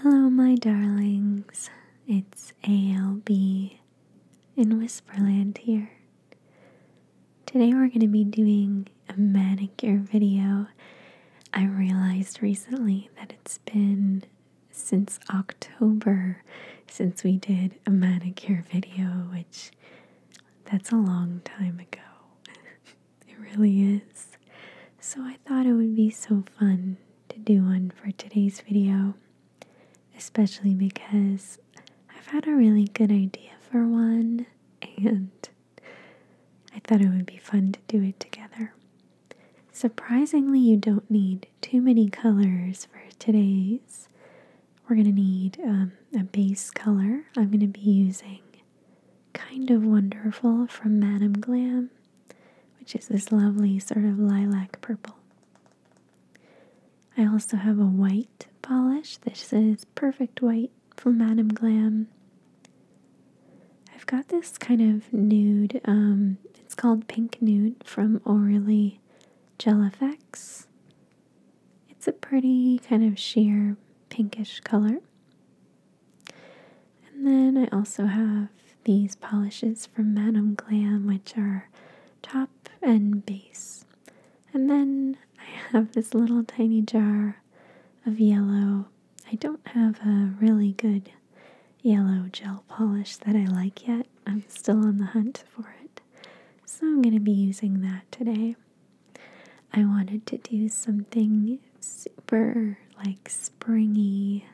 Hello, my darlings. It's ALB in Whisperland here. Today we're going to be doing a manicure video. I realized recently that it's been since October since we did a manicure video, which that's a long time ago. it really is. So I thought it would be so fun to do one for today's video, especially because I've had a really good idea for one and I thought it would be fun to do it together. Surprisingly, you don't need too many colors for today's. We're going to need um, a base color. I'm going to be using Kind of Wonderful from Madame Glam which is this lovely sort of lilac purple. I also have a white polish. This is Perfect White from Madame Glam. I've got this kind of nude, um, it's called Pink Nude from Aurelie Gel Effects. It's a pretty kind of sheer pinkish color. And then I also have these polishes from Madame Glam, which are top and base. And then I have this little tiny jar of yellow. I don't have a really good yellow gel polish that I like yet. I'm still on the hunt for it. So I'm going to be using that today. I wanted to do something super like springy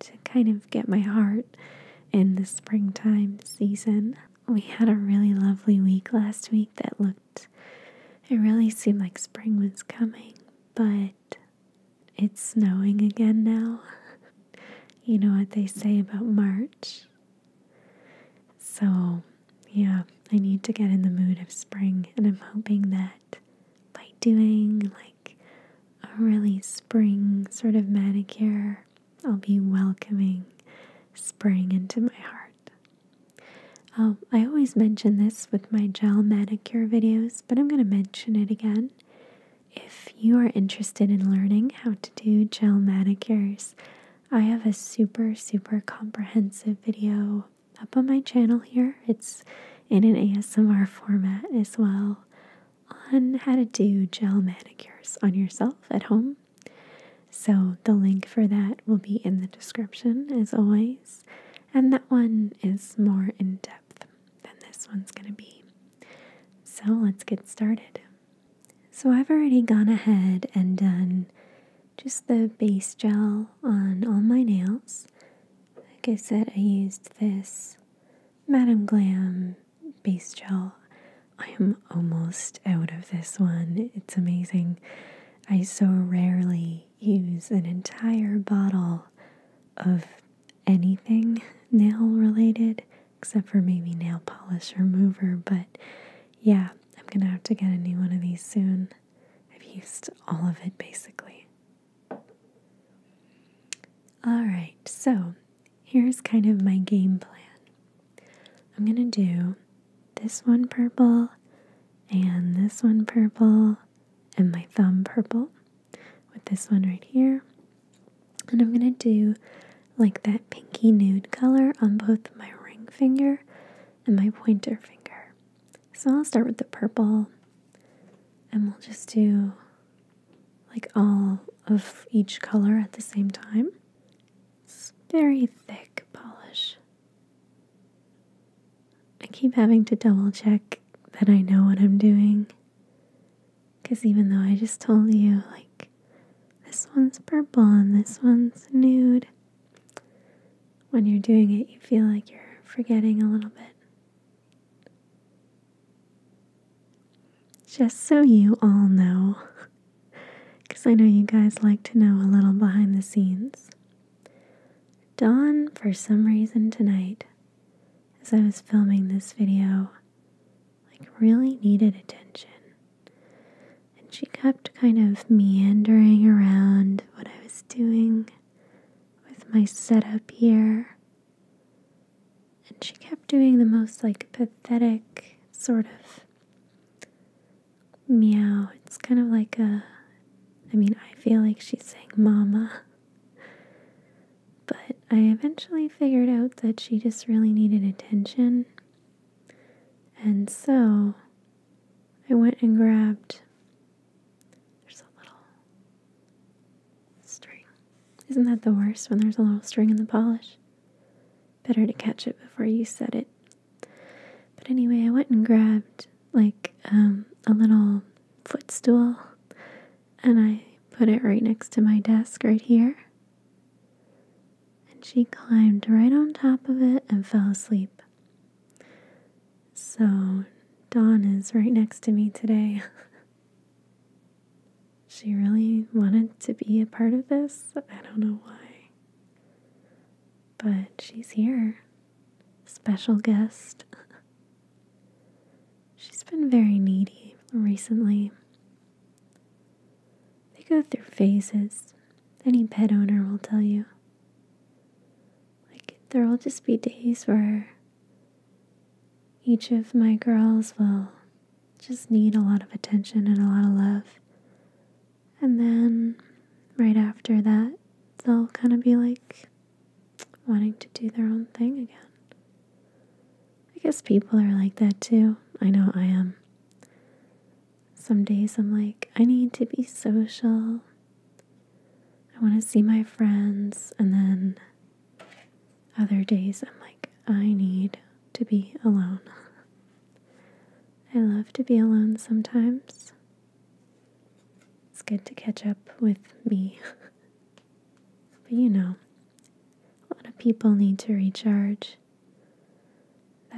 to kind of get my heart in the springtime season. We had a really lovely week last week that looked, it really seemed like spring was coming, but it's snowing again now. you know what they say about March. So, yeah, I need to get in the mood of spring, and I'm hoping that by doing like a really spring sort of manicure. I'll be welcoming spring into my heart. Um, I always mention this with my gel manicure videos, but I'm going to mention it again. If you are interested in learning how to do gel manicures, I have a super, super comprehensive video up on my channel here it's in an ASMR format as well on how to do gel manicures on yourself at home. So, the link for that will be in the description as always. And that one is more in depth than this one's going to be. So, let's get started. So, I've already gone ahead and done just the base gel on all my nails. Like I said, I used this Madam Glam base gel. I am almost out of this one. It's amazing. I so rarely use an entire bottle of anything nail related, except for maybe nail polish remover. But yeah, I'm gonna have to get a new one of these soon. I've used all of it basically. All right, so here's kind of my game plan. I'm going to do this one purple and this one purple and my thumb purple with this one right here. And I'm going to do like that pinky nude color on both my ring finger and my pointer finger. So I'll start with the purple and we'll just do like all of each color at the same time. It's very thick polish. I keep having to double check that I know what I'm doing. Because even though I just told you, like, this one's purple and this one's nude, when you're doing it, you feel like you're forgetting a little bit. Just so you all know, because I know you guys like to know a little behind the scenes. Dawn, for some reason tonight, as I was filming this video, like really needed attention. And she kept kind of meandering around what I was doing with my setup here and she kept doing the most like pathetic sort of meow. It's kind of like a, I mean, I feel like she's saying mama. But I eventually figured out that she just really needed attention. And so I went and grabbed there's a little string. Isn't that the worst when there's a little string in the polish? Better to catch it before you set it. But anyway, I went and grabbed like um, a little footstool and I put it right next to my desk right here. And she climbed right on top of it and fell asleep. So, Dawn is right next to me today. she really wanted to be a part of this. I don't know why. But she's here. Special guest. she's been very needy recently. They go through phases. Any pet owner will tell you. Like, there will just be days where each of my girls will just need a lot of attention and a lot of love. And then right after that, they'll kind of be like wanting to do their own thing again. I guess people are like that too. I know I am. Some days I'm like, I need to be social. I want to see my friends. And then other days I'm like, I need to be alone. I love to be alone sometimes. It's good to catch up with me. but you know, a lot of people need to recharge.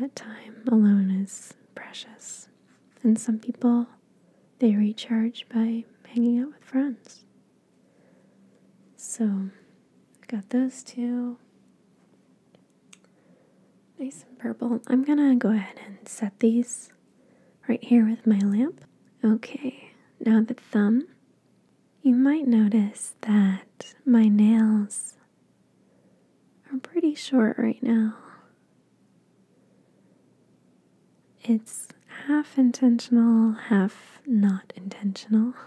That time alone is precious. And some people they recharge by hanging out with friends. So, I've got those two. Nice and purple. I'm gonna go ahead and set these right here with my lamp. Okay, now the thumb. You might notice that my nails are pretty short right now. It's half intentional, half not intentional.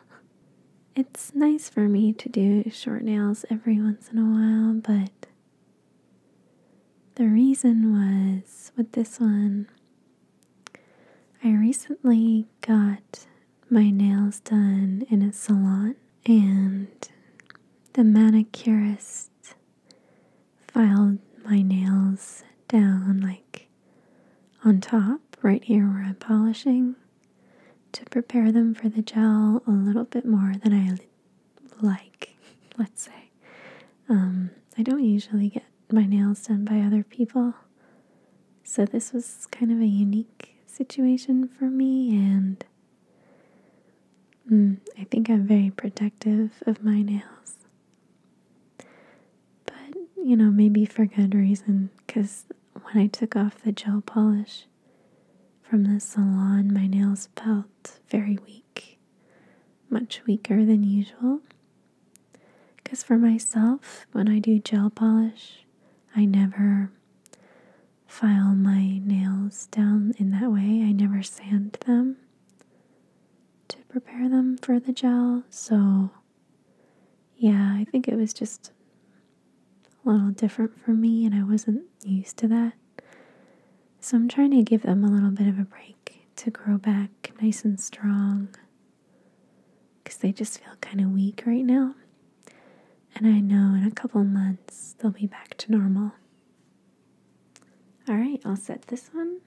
It's nice for me to do short nails every once in a while, but the reason was with this one, I recently got my nails done in a salon, and the manicurist filed my nails down, like on top, right here where I'm polishing, to prepare them for the gel a little bit more than I like, let's say. Um, I don't usually get my nails done by other people, so this was kind of a unique situation for me, and mm, I think I'm very protective of my nails. But, you know, maybe for good reason, because when I took off the gel polish from the salon, my nails felt very weak, much weaker than usual. Because for myself, when I do gel polish, I never file my nails down in that way, I never sand them to prepare them for the gel. So, yeah, I think it was just a little different for me, and I wasn't used to that. So, I'm trying to give them a little bit of a break to grow back nice and strong because they just feel kind of weak right now. And I know in a couple months they'll be back to normal. All right, I'll set this one.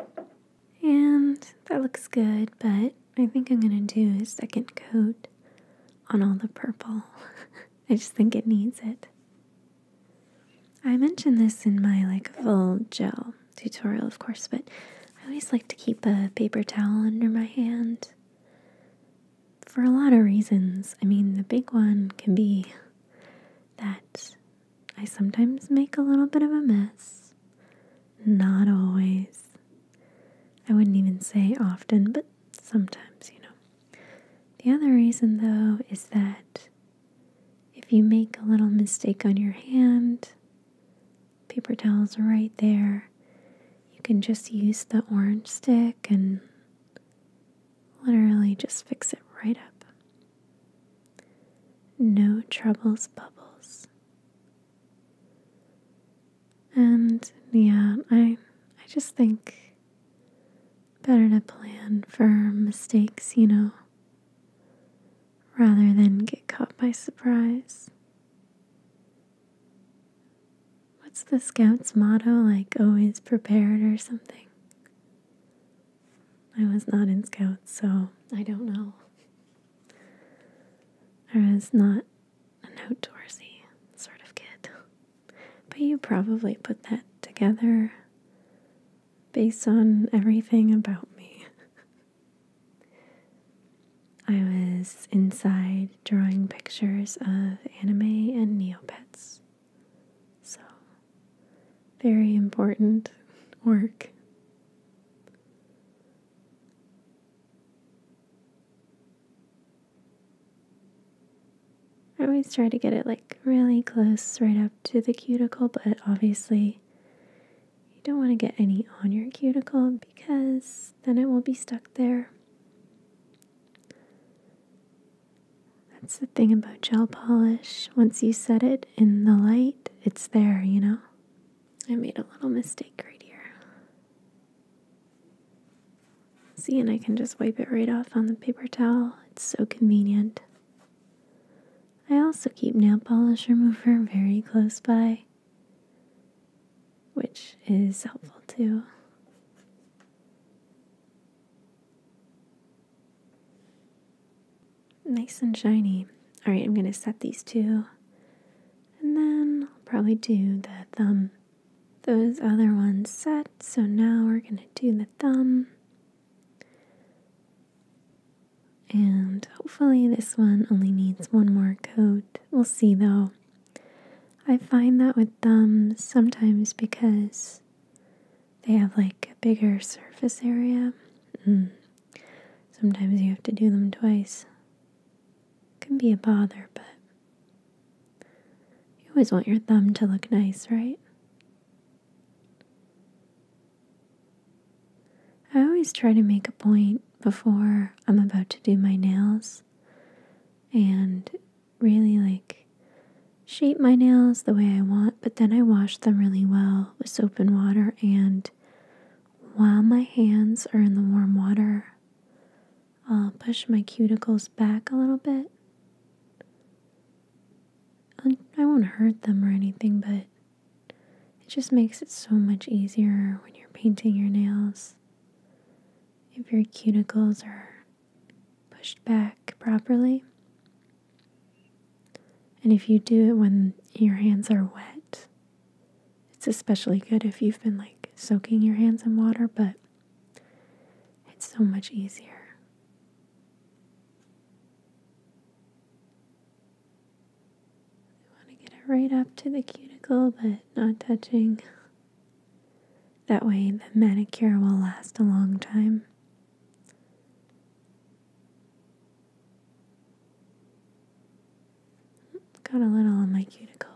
And that looks good, but I think I'm gonna do a second coat on all the purple. I just think it needs it. I mentioned this in my like full gel tutorial, of course, but I always like to keep a paper towel under my hand for a lot of reasons. I mean, the big one can be that I sometimes make a little bit of a mess. Not always. I wouldn't even say often, but sometimes, you know. The other reason, though, is that if you make a little mistake on your hand, paper towels are right there. You can just use the orange stick and literally just fix it right up. No troubles, bubbles. And yeah, I I just think better to plan for mistakes, you know, rather than get caught by surprise. What's the scout's motto? Like always prepared or something? I was not in scouts, so I don't know. I was not an outdoorsy sort of kid. But you probably put that together based on everything about me. I was inside drawing pictures of anime and Neopets. So, very important work I always try to get it like really close right up to the cuticle, but obviously you don't want to get any on your cuticle because then it will be stuck there. That's the thing about gel polish. Once you set it in the light, it's there, you know? I made a little mistake right here. See, and I can just wipe it right off on the paper towel. It's so convenient. I also keep nail polish remover very close by, which is helpful too nice and shiny. All right, I'm going to set these two. And then I'll probably do the thumb. Those other ones set. So now we're going to do the thumb. And hopefully this one only needs one more coat. We'll see though. I find that with thumbs sometimes because they have like a bigger surface area. Mm, Sometimes you have to do them twice. It can be a bother, but you always want your thumb to look nice, right? I always try to make a point before I'm about to do my nails and really like shape my nails the way I want, but then I wash them really well with soap and water and while my hands are in the warm water. I'll push my cuticles back a little bit. Um, I won't hurt them or anything, but it just makes it so much easier when you're painting your nails. If your cuticles are pushed back properly, and if you do it when your hands are wet, it's especially good if you've been like soaking your hands in water, but it's so much easier. I want to get it right up to the cuticle, but not touching. That way, the manicure will last a long time. Got a little on my cuticle.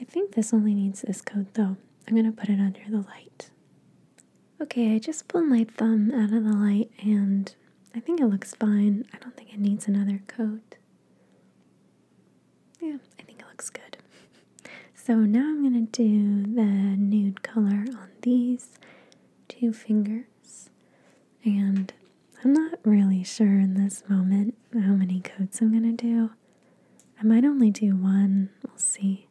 I think this only needs this coat though. I'm gonna put it under the light. Okay, I just pulled my thumb out of the light and I think it looks fine. I don't think it needs another coat. Yeah, I think it looks good. So now I'm gonna do the nude color on these two fingers. And I'm not really sure in this moment how many coats I'm going to do. I might only do one, we'll see.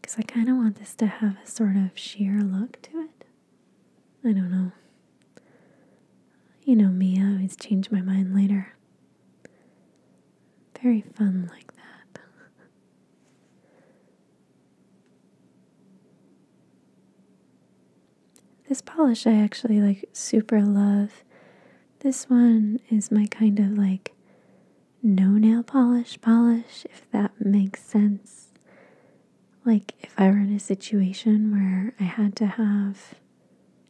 Because I kind of want this to have a sort of sheer look to it. I don't know. You know me, I always change my mind later. Very fun like that. This polish I actually like super love. This one is my kind of like no nail polish polish, if that makes sense. Like, if I were in a situation where I had to have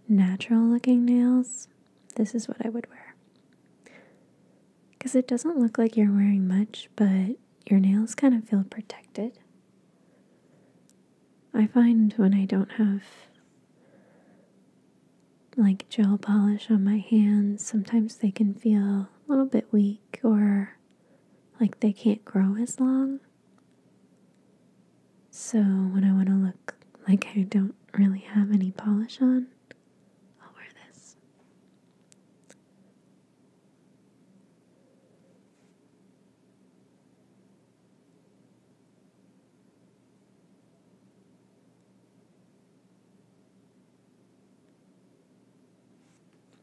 natural looking nails, this is what I would wear. Because it doesn't look like you're wearing much, but your nails kind of feel protected. I find when I don't have like gel polish on my hands, sometimes they can feel a little bit weak or like they can't grow as long. So when I want to look like I don't really have any polish on, I'll wear this.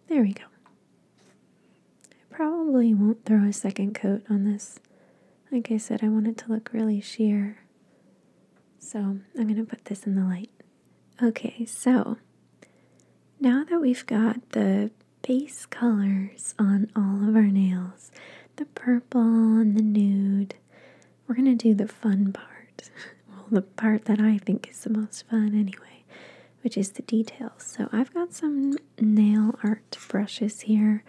There we go. I probably won't throw a second coat on this. Like I said, I want it to look really sheer. So I'm going to put this in the light. Okay, so now that we've got the base colors on all of our nails, the purple and the nude, we're gonna do the fun part. well, the part that I think is the most fun anyway, which is the details. So I've got some nail art brushes here.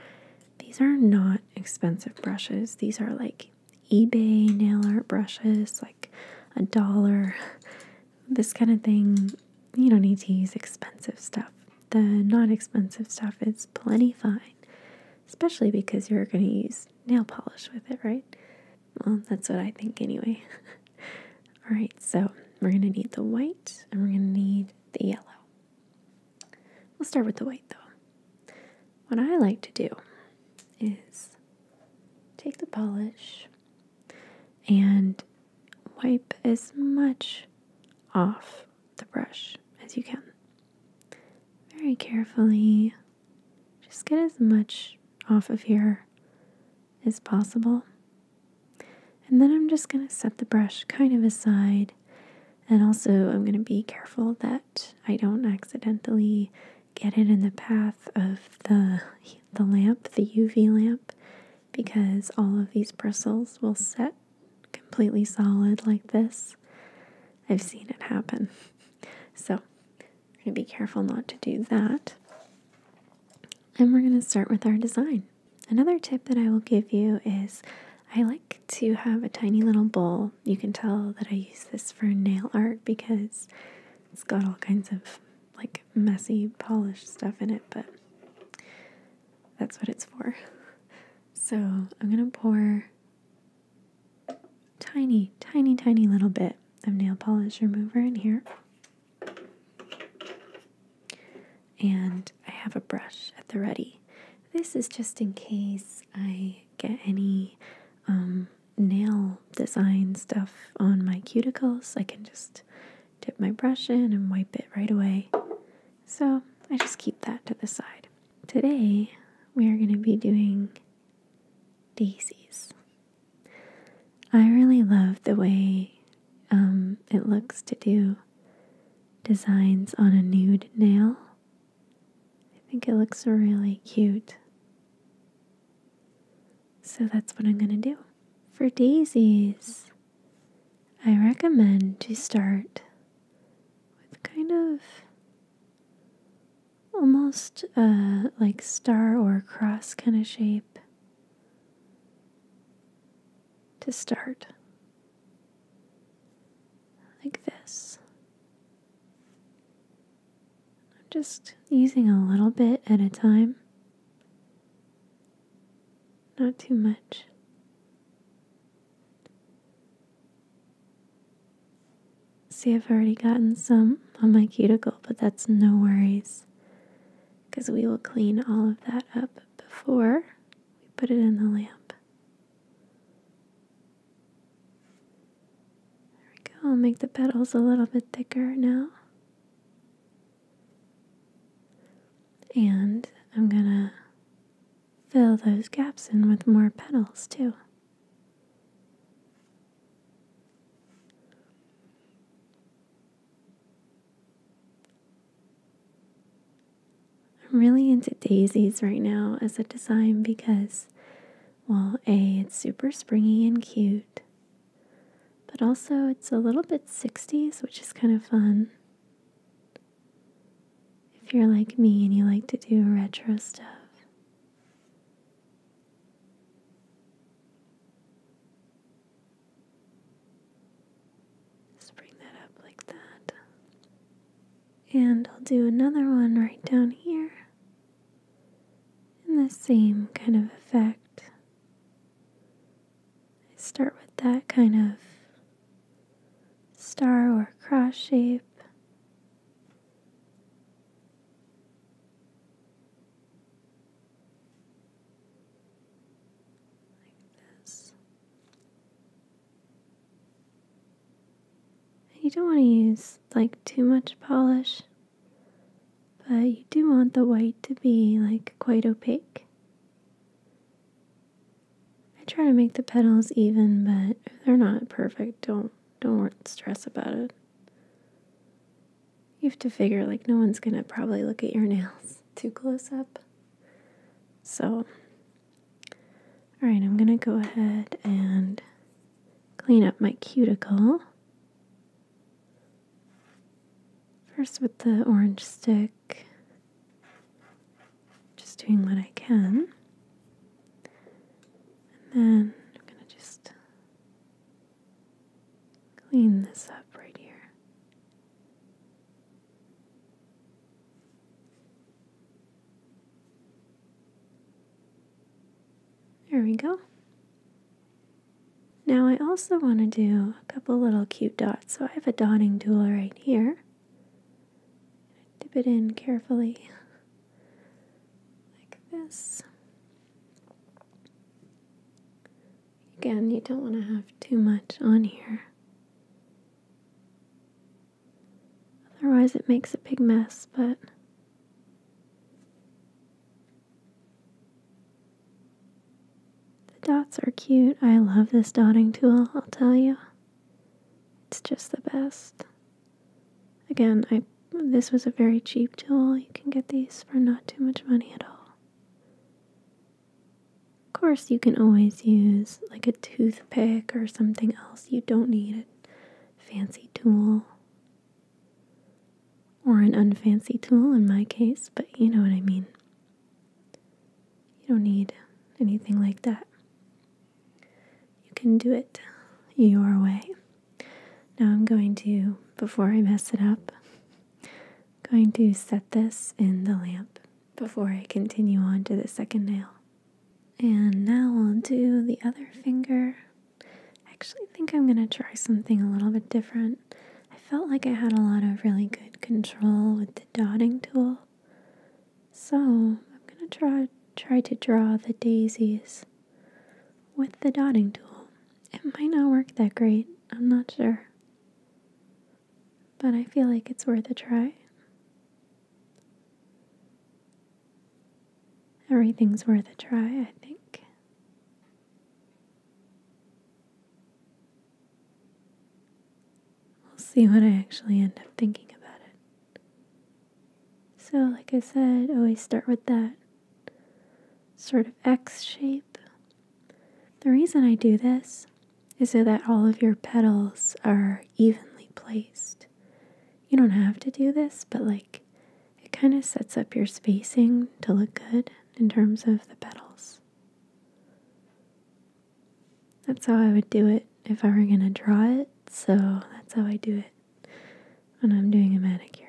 These are not expensive brushes, these are like eBay nail art brushes, like a dollar. this kind of thing, you don't need to use expensive stuff. The non expensive stuff is plenty fine, especially because you're going to use nail polish with it, right? Well, that's what I think anyway. All right, so we're going to need the white and we're going to need the yellow. We'll start with the white though. What I like to do is take the polish and wipe as much off the brush as you can. Very carefully, just get as much off of here as possible. And then I'm just going to set the brush kind of aside. And also, I'm going to be careful that I don't accidentally get it in the path of the the lamp, the UV lamp, because all of these bristles will set completely solid like this. I've seen it happen. So, be careful not to do that. And we're going to start with our design. Another tip that I will give you is I like to have a tiny little bowl. You can tell that I use this for nail art because it's got all kinds of like messy polish stuff in it, but that's what it's for. So I'm gonna pour tiny, tiny, tiny little bit of nail polish remover in here. And I have a brush at the ready. This is just in case I get any um, nail design stuff on my cuticles, I can just dip my brush in and wipe it right away. So I just keep that to the side. Today we are going to be doing daisies. I really love the way um, it looks to do designs on a nude nail. I think it looks really cute. So that's what I'm going to do for daisies, I recommend to start with kind of almost uh, like star or cross kind of shape to start. Like this. I'm just using a little bit at a time, not too much. See, I've already gotten some on my cuticle, but that's no worries because we will clean all of that up before we put it in the lamp. There we go. I'll make the petals a little bit thicker now. And I'm gonna fill those gaps in with more petals too. I'm really into daisies right now as a design because, well, A, it's super springy and cute, but also, it's a little bit 60s, which is kind of fun. If you're like me and you like to do retro stuff, just bring that up like that. And I'll do another one right down here in the same kind of effect. I start with that kind of star or cross shape. Like this. You don't want to use like too much polish. But you do want the white to be like quite opaque. I try to make the petals even, but if they're not perfect, don't don't stress about it. You have to figure like no one's gonna probably look at your nails too close up. So alright, I'm gonna go ahead and clean up my cuticle. First, with the orange stick, just doing what I can. And then I'm going to just clean this up right here. There we go. Now I also want to do a couple little cute dots. So I have a dotting tool right here. Dip it in carefully like this. Again, you don't want to have too much on here. Otherwise it makes a big mess, but the dots are cute. I love this dotting tool, I'll tell you. It's just the best. Again, I this was a very cheap tool. You can get these for not too much money at all. Of course, you can always use like a toothpick or something else. You don't need a fancy tool. Or an unfancy tool in my case, but you know what I mean. You don't need anything like that. You can do it your way. Now I'm going to, before I mess it up, going to set this in the lamp before I continue on to the second nail. And now I'll do the other finger I actually think I'm going to try something a little bit different. I felt like I had a lot of really good control with the dotting tool. So, I'm going to try try to draw the daisies with the dotting tool. It might not work that great. I'm not sure. But I feel like it's worth a try. Everything's worth a try, I think. We'll see what I actually end up thinking about it. So, like I said, always start with that sort of X shape. The reason I do this is so that all of your petals are evenly placed. You don't have to do this, but like it kind of sets up your spacing to look good in terms of the petals. That's how I would do it if I were going to draw it, so that's how I do it when I'm doing a manicure.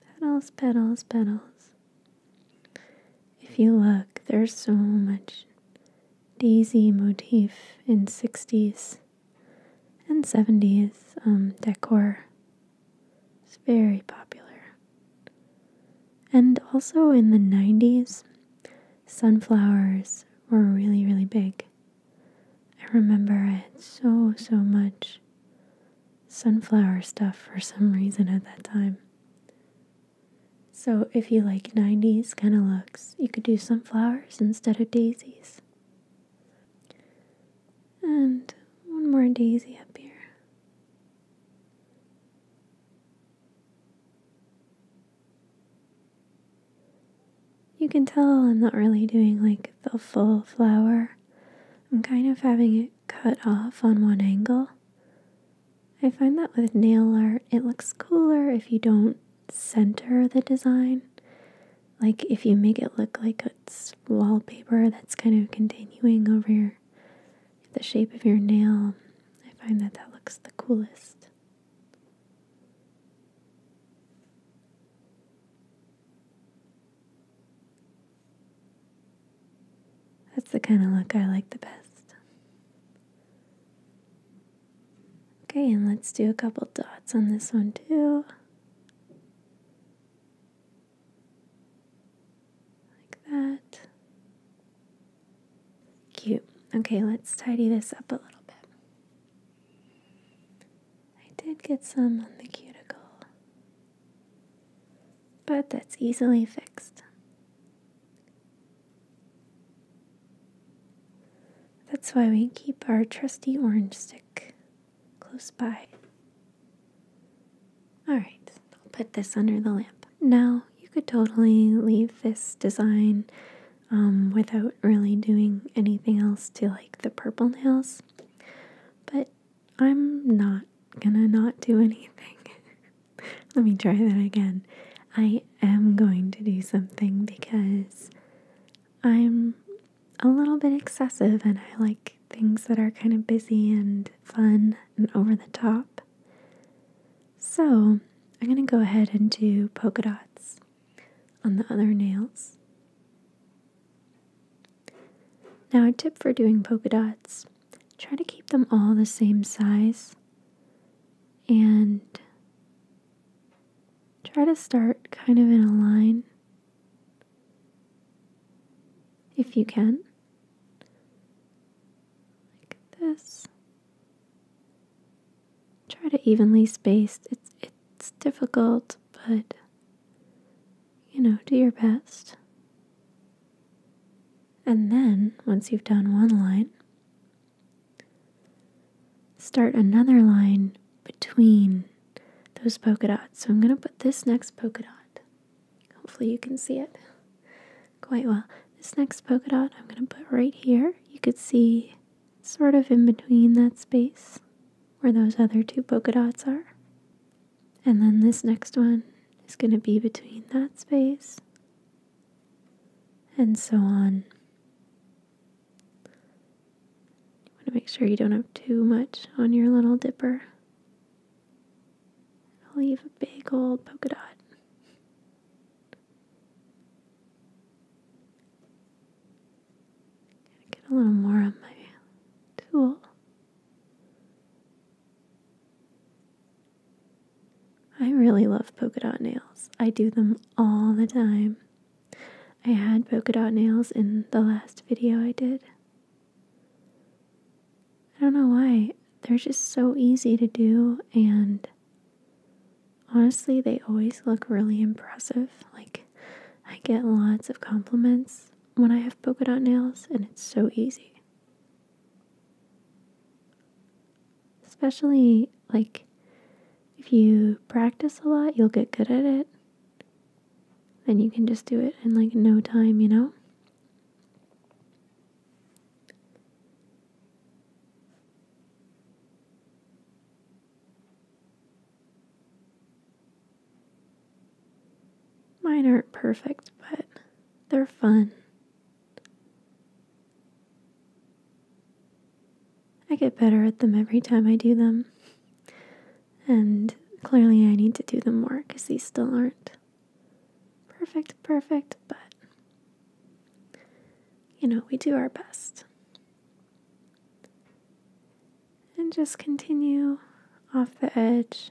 Petals, petals, petals. If you look, there's so much daisy motif in 60s and 70s um, decor. It's very popular. And also in the 90s, sunflowers were really, really big. I remember it so, so much sunflower stuff for some reason at that time. So, if you like 90s kind of looks, you could do sunflowers instead of daisies. And one more daisy up here. You can tell I'm not really doing like the full flower. I'm kind of having it cut off on one angle. I find that with nail art, it looks cooler if you don't center the design. Like if you make it look like it's wallpaper that's kind of continuing over your, the shape of your nail, I find that that looks the coolest. That's the kind of look I like the best. Okay, and let's do a couple dots on this one too. Like that. Cute. Okay, let's tidy this up a little bit. I did get some on the cuticle. But that's easily fixed. That's why we keep our trusty orange stick close by. Alright, I'll put this under the lamp. Now, you could totally leave this design um, without really doing anything else to like the purple nails, but I'm not gonna not do anything. Let me try that again. I am going to do something because I'm a little bit excessive and I like things that are kind of busy and fun and over the top. So I'm gonna go ahead and do polka dots on the other nails. Now, a tip for doing polka dots try to keep them all the same size and try to start kind of in a line if you can, like this. Try to evenly space. It's it's difficult, but you know, do your best. And then, once you've done one line, start another line between those polka dots. So I'm going to put this next polka dot. Hopefully, you can see it quite well. This next polka dot I'm going to put right here. You could see sort of in between that space where those other two polka dots are. And then this next one is going to be between that space and so on. You want to make sure you don't have too much on your little dipper. leave a big old polka dot. Get a little more of my tool. I really love polka dot nails. I do them all the time. I had polka dot nails in the last video I did. I don't know why. They're just so easy to do, and honestly, they always look really impressive. Like, I get lots of compliments when I have polka dot nails and it's so easy. Especially like if you practice a lot, you'll get good at it. Then you can just do it in like no time, you know? Mine aren't perfect, but they're fun. I get better at them every time I do them. And clearly, I need to do them more because these still aren't perfect, perfect, but you know, we do our best and just continue off the edge.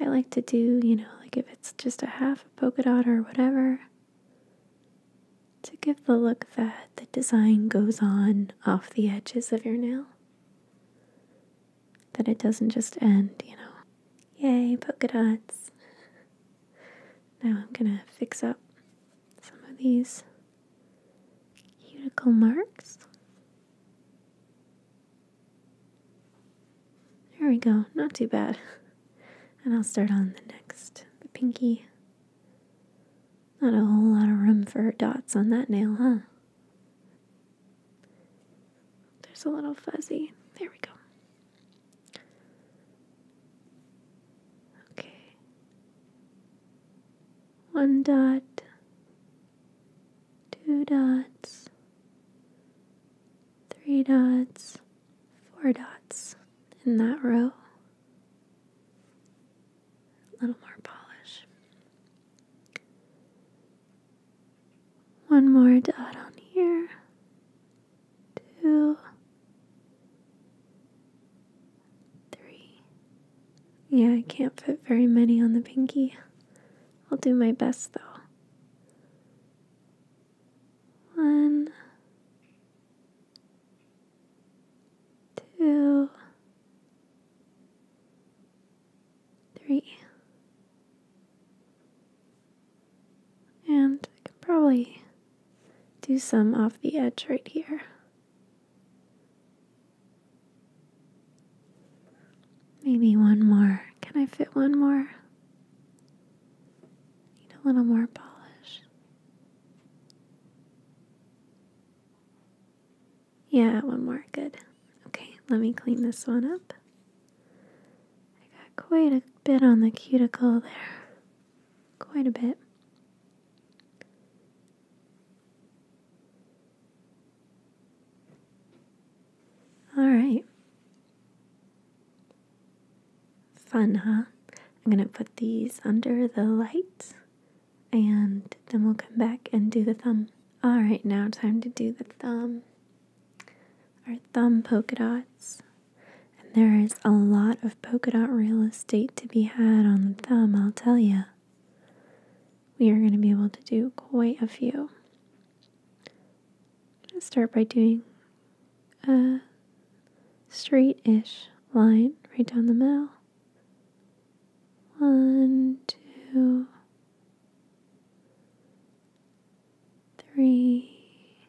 I like to do, you know, like if it's just a half a polka dot or whatever, to give the look that the design goes on off the edges of your nail. That it doesn't just end, you know. Yay, polka dots! Now I'm gonna fix up some of these cuticle marks. There we go, not too bad. And I'll start on the next, the pinky. Not a whole lot of room for dots on that nail, huh? There's a little fuzzy. There we go. Okay. One dot, two dots, three dots, four dots in that row. A little more polish. One more dot on here. Two. Three. Yeah, I can't fit very many on the pinky. I'll do my best though. One, two, three. And I can probably do some off the edge right here. Maybe one more. Can I fit one more? Need a little more polish. Yeah, one more. Good. Okay, let me clean this one up. I got quite a bit on the cuticle there. Quite a bit. All right. Fun, huh? I'm going to put these under the light and then we'll come back and do the thumb. All right, now time to do the thumb. Our thumb polka dots. And there is a lot of polka dot real estate to be had on the thumb, I'll tell you we are going to be able to do quite a few. start by doing a straight-ish line right down the middle. One, two, three,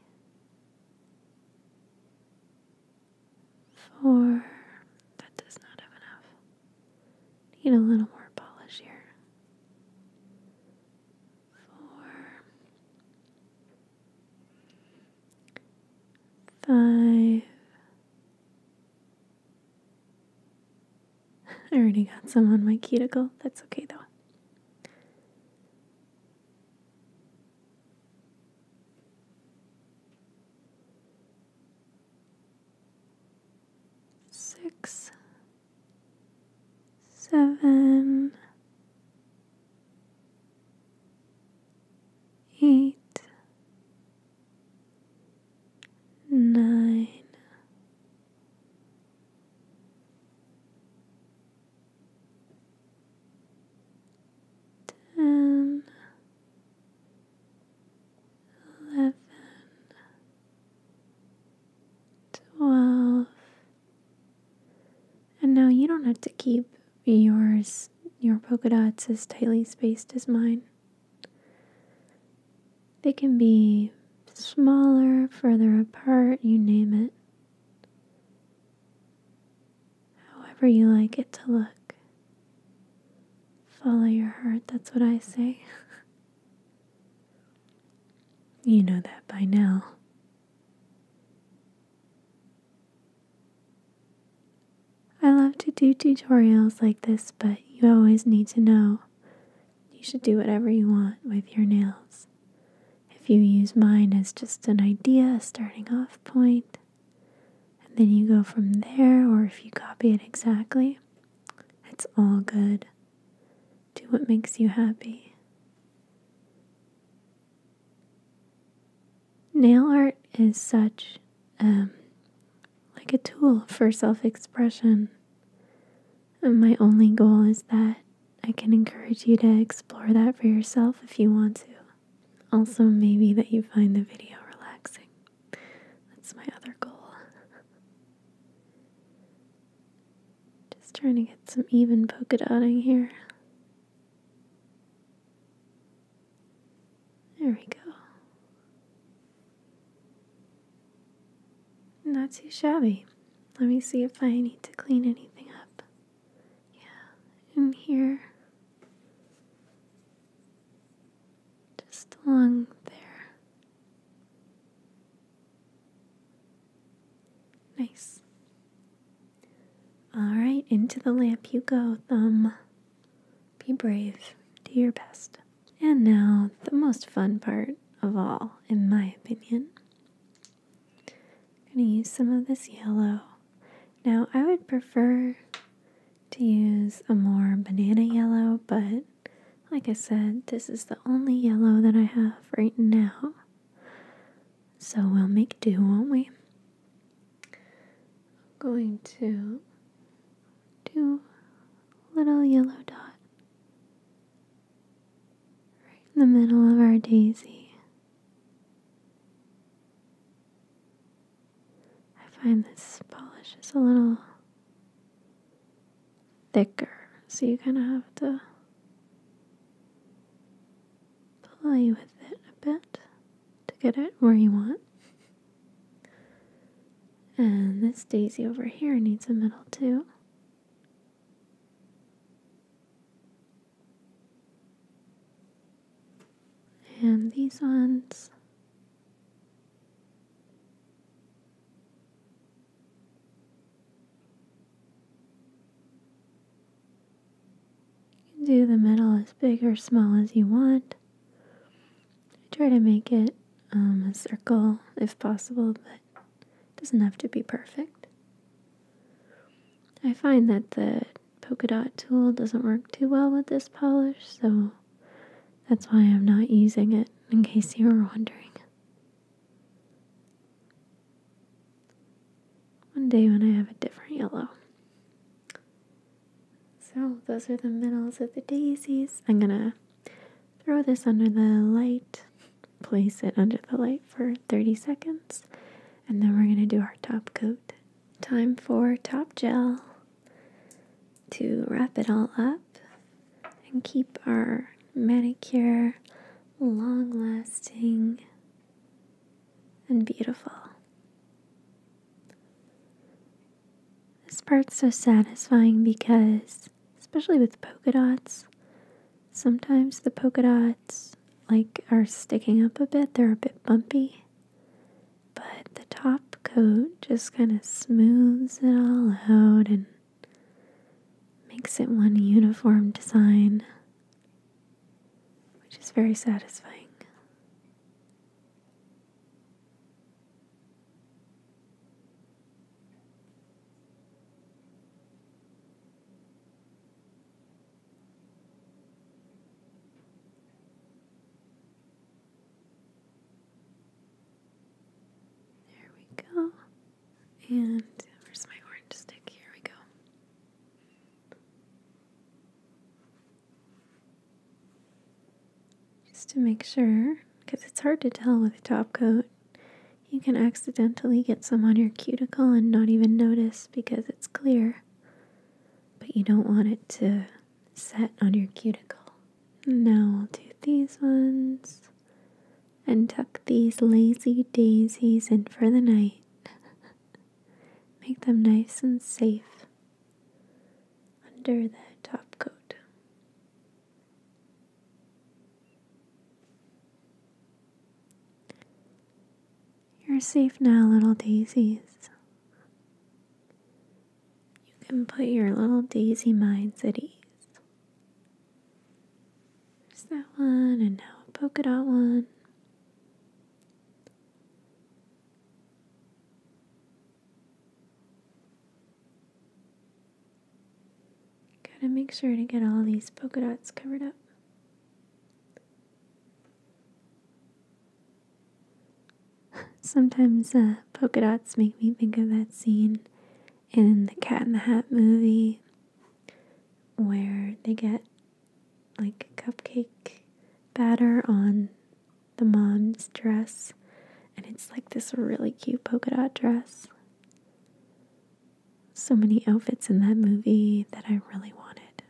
four. That does not have enough. Need a little more polish here. Four, five. I already got some on my cuticle. That's okay though. Six, seven, eight, nine, ten, eleven. 12 and now you don't have to keep yours your polka dots as tightly spaced as mine they can be smaller further apart you name it however you like it to look follow your heart that's what i say You know that by now. I love to do tutorials like this, but you always need to know you should do whatever you want with your nails. If you use mine as just an idea, starting off point, and then you go from there, or if you copy it exactly, it's all good. Do what makes you happy. Nail art is such um like a tool for self-expression. And my only goal is that I can encourage you to explore that for yourself if you want to. Also, maybe that you find the video relaxing. That's my other goal. Just trying to get some even polka dotting here. There we go. Not too shabby. Let me see if I need to clean anything up. Yeah, in here. Just along there. Nice. All right, into the lamp you go, Thumb. Be brave, do your best. And now, the most fun part of all, in my opinion. I'm going to use some of this yellow. Now, I would prefer to use a more banana yellow, but like I said, this is the only yellow that I have right now. So we'll make do, won't we? I'm going to do little yellow dot right in the middle of our daisy. I find this polish is a little thicker. So you kind of have to play with it a bit to get it where you want. And this daisy over here needs a middle too. And these ones you can do the middle as big or small as you want. try to make it um, a circle if possible, but it doesn't have to be perfect. I find that the polka dot tool doesn't work too well with this polish, so that's why I'm not using it, in case you were wondering. One day when I have a different yellow. So, those are the middles of the daisies. I'm gonna throw this under the light, place it under the light for 30 seconds, and then we're gonna do our top coat. Time for top gel to wrap it all up and keep our manicure long lasting and beautiful. This part's so satisfying because, especially with polka dots, sometimes the polka dots like are sticking up a bit, they're a bit bumpy. But the top coat just kind of smooths it all out and makes it one uniform design, which is very satisfying. There we go. And where's my orange stick? Here we go. Just to make sure, because it's hard to tell with top coat. You can accidentally get some on your cuticle and not even notice because it's clear, but you don't want it to set on your cuticle. Now i will do these ones and tuck these lazy daisies in for the night. Make them nice and safe under the top coat. You're safe now, little daisies. You can put your little daisy minds at ease. There's that one, and now a polka dot one. Gotta make sure to get all these polka dots covered up. Sometimes uh, polka dots make me think of that scene in the Cat in the Hat movie where they get like cupcake batter on the mom's dress and it's like this really cute polka dot dress. So many outfits in that movie that I really wanted,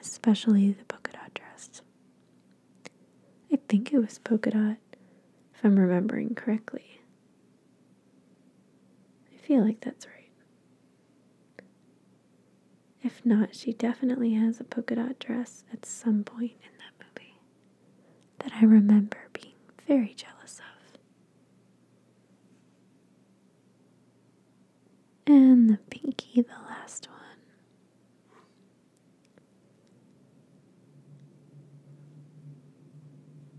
especially the polka dot dress. I think it was polka dot, if I'm remembering correctly. I feel like that's right. If not, she definitely has a polka dot dress at some point in that movie that I remember being very jealous of. And the pinky, the last one.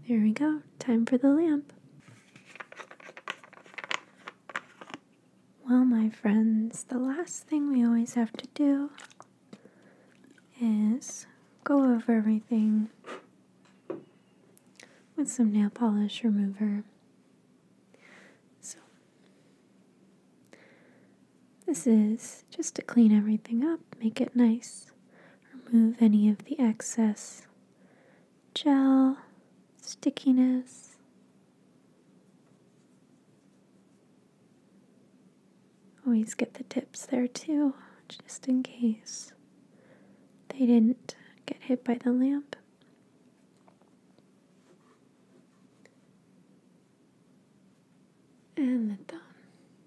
There we go. Time for the lamp. Well, my friends, the last thing we always have to do is go over everything with some nail polish remover. So, this is just to clean everything up, make it nice, remove any of the excess gel, stickiness. Always get the tips there too, just in case they didn't get hit by the lamp and the thumb.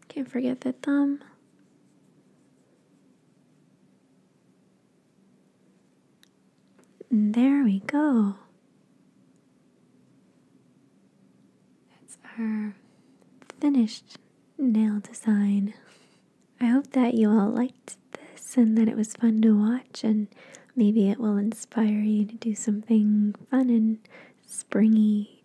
Can't forget the thumb. And there we go. That's our finished nail design. I hope that you all liked this and that it was fun to watch and maybe it will inspire you to do something fun and springy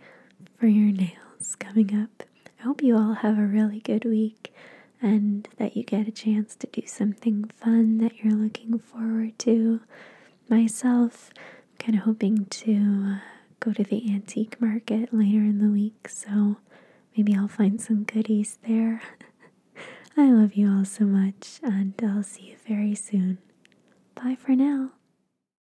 for your nails coming up. I hope you all have a really good week and that you get a chance to do something fun that you're looking forward to. Myself, I'm kind of hoping to uh, go to the antique market later in the week, so maybe I'll find some goodies there. I love you all so much, and I'll see you very soon. Bye for now.